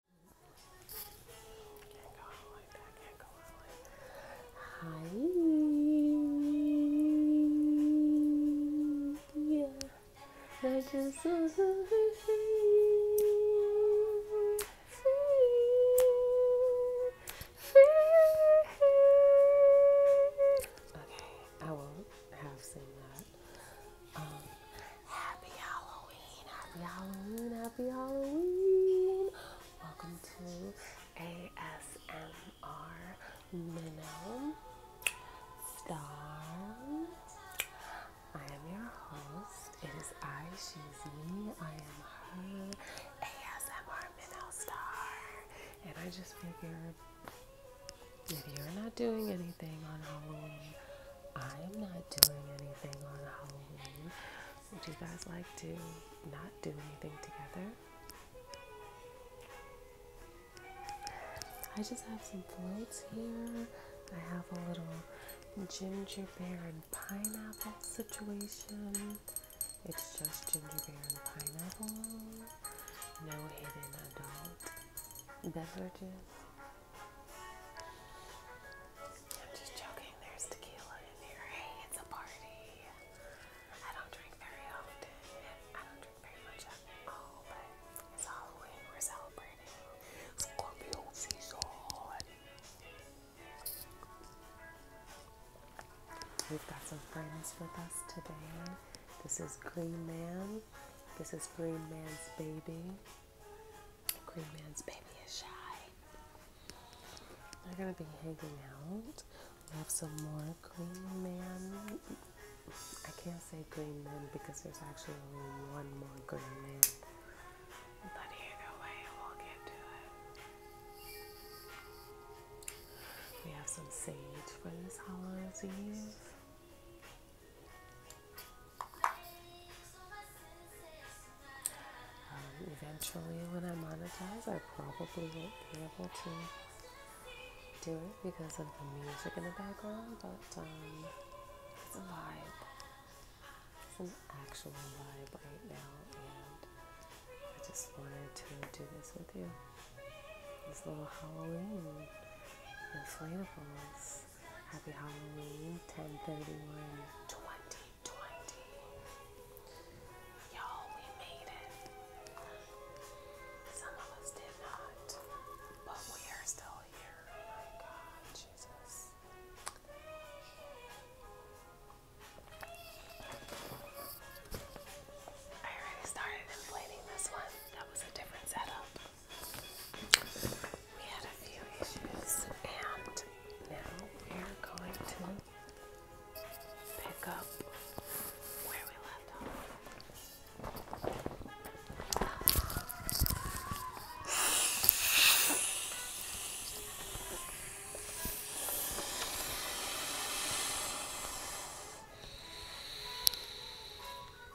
Can't that. Can't go out like that. I Okay, I will have seen that happy Halloween, happy Halloween, happy Halloween. Welcome to ASMR Minnow Star. I am your host. It is I, she's me, I am her, ASMR Minnow Star. And I just figured if you're not doing anything on Halloween, I'm not doing anything on Halloween. Would you guys like to not do anything together? I just have some floats here. I have a little gingerbread and pineapple situation. It's just gingerbread and pineapple. No hidden adult beverages. I'm just joking, there's tequila in here. Hey, it's a party. I don't drink very often, I don't drink very much at all, but it's Halloween, we're celebrating. Scorpio season. We've got some friends with us today. This is Green Man. This is Green Man's baby. Green man's baby is shy. we are gonna be hanging out. We have some more green man. I can't say green man because there's actually only one more green man. But either way, we'll get to it. We have some sage for this Halloween Eve. Um, eventually, when I monetize, I probably won't be able to do it because of the music in the background, but um, it's a vibe. It's an actual vibe right now, and I just wanted to do this with you. This little Halloween inflatables. Happy Halloween 1031 2020. Y'all, we made it. Some of us did not, but we are still here. Oh my God, Jesus. I already started inflating this one. That was a different setup we had a few issues, and now we're going to pick up where we left off.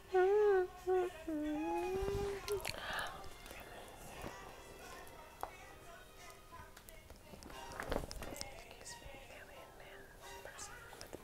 Excuse mmm, alien man person with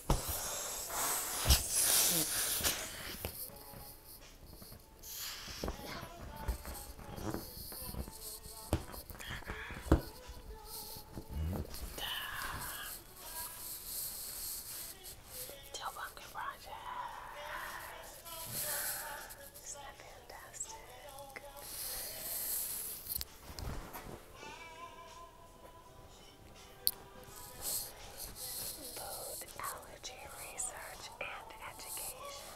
Tell Bunker Project. Isn't that fantastic? Food allergy research and education.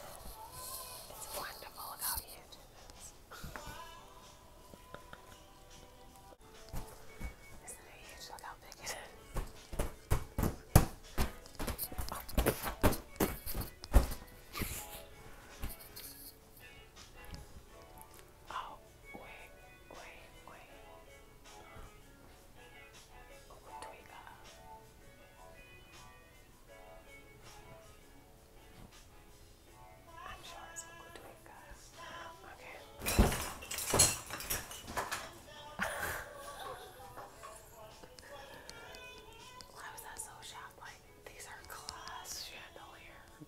It's wonderful how you Isn't it huge? Look how big it is. Oh, I'm sure it's Uncle Twinka. Okay. Why was I so shocked? Like, these are glass chandeliers.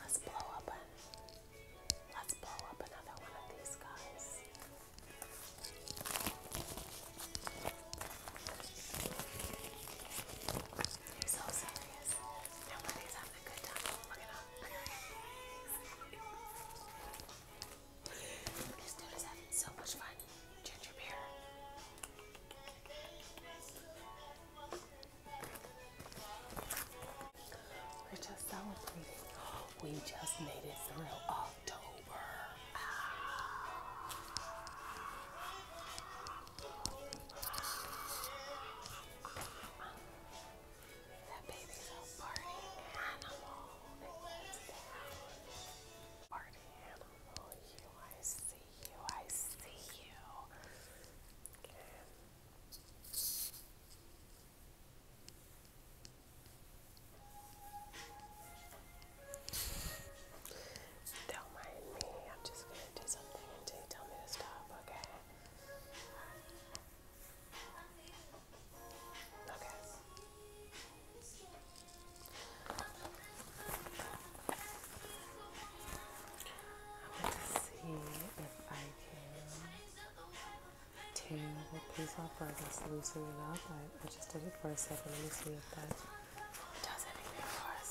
Let's blow up let's blow up another one of these guys. I'm so serious. having a good time. Look at him. this dude having so much fun. Ginger beer. We're just celebrating. We just made it through October. Ah. That baby's a party animal. Party animal. You, I see you. I see you. Okay. Don't mind me, I'm just gonna do something until you tell me to stop, okay? Okay. I want to see if I can tear the piece off or just loosen it up. I, just did it for a second. Let me see if that does anything for us.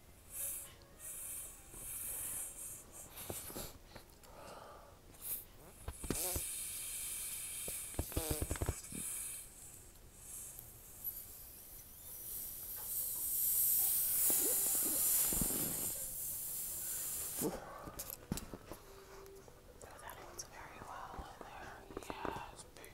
So that ends very well in there. Yes,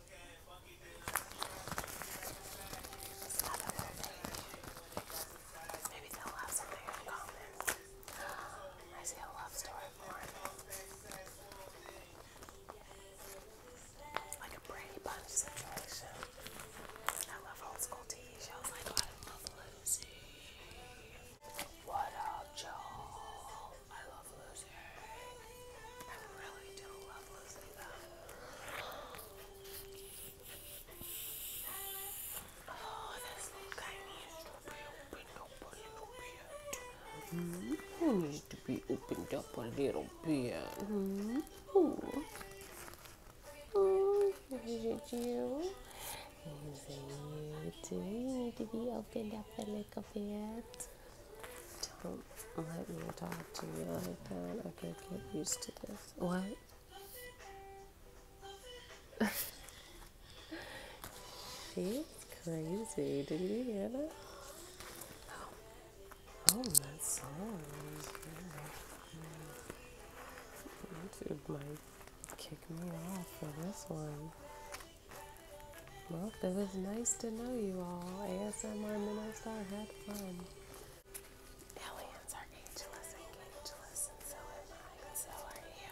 I see a love story more. Like a Brady Bunch situation. I love old school TV shows like What I Love Lucy. What up, Joel? I I really do love losing them. Oh, this look I need to be opened up a little bit. Mm to be opened up a little bit. Mm it you? Is it you too? You need to be opened up a little bit. Don't let me talk to you like that. I could get used to this. What? She's crazy. Did you hear that? Oh, that song is YouTube might kick me off for this one. Well, it was nice to know you all. ASMR Minister had fun. Aliens are ageless and ageless, and so am I, and so are you.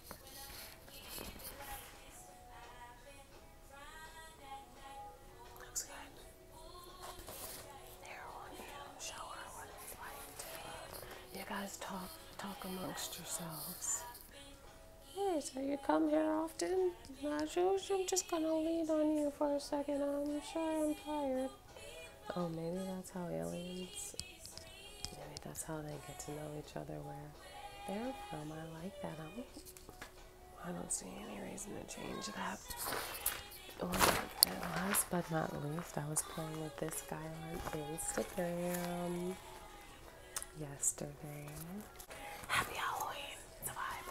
you guys talk talk amongst yourselves. Hey, so you come here often? I'm just gonna lean on you for a second. I'm sure I'm tired. Oh, maybe that's how aliens Maybe that's how they get to know each other where they're from. I like that. I don't, see any reason to change that. last but not least, I was playing with this guy on Instagram yesterday. Happy Halloween! The vibe.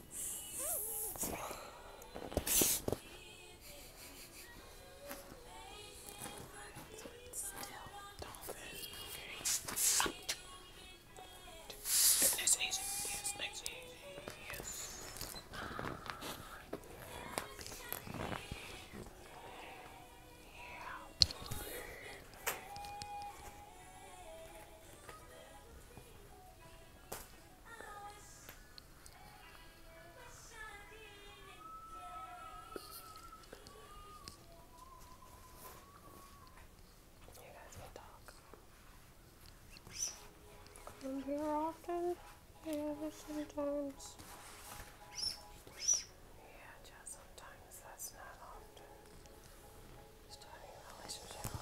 Still, don't Nice and easy. Yes, nice and easy. Yes. Yeah, baby. Yeah, baby. You guys talk. Come here often? Yeah, sometimes. Yeah, just sometimes. That's not often. Starting a relationship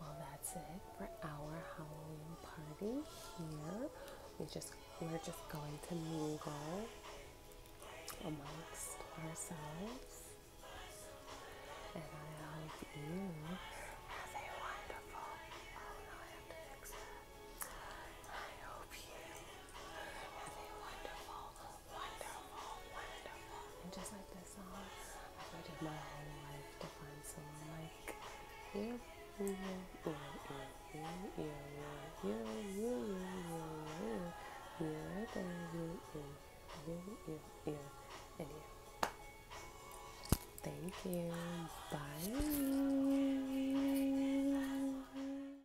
Well, that's it for our Halloween party here. We just we're just going to mingle amongst ourselves. And I hope you have a wonderful oh no, I have to fix that. I hope you have a wonderful wonderful, wonderful. And just like this song, I lived my whole life to find someone like you. You, you, you, you, you, you, you, you, you, you, you, you, you, and you. Thank you. Bye.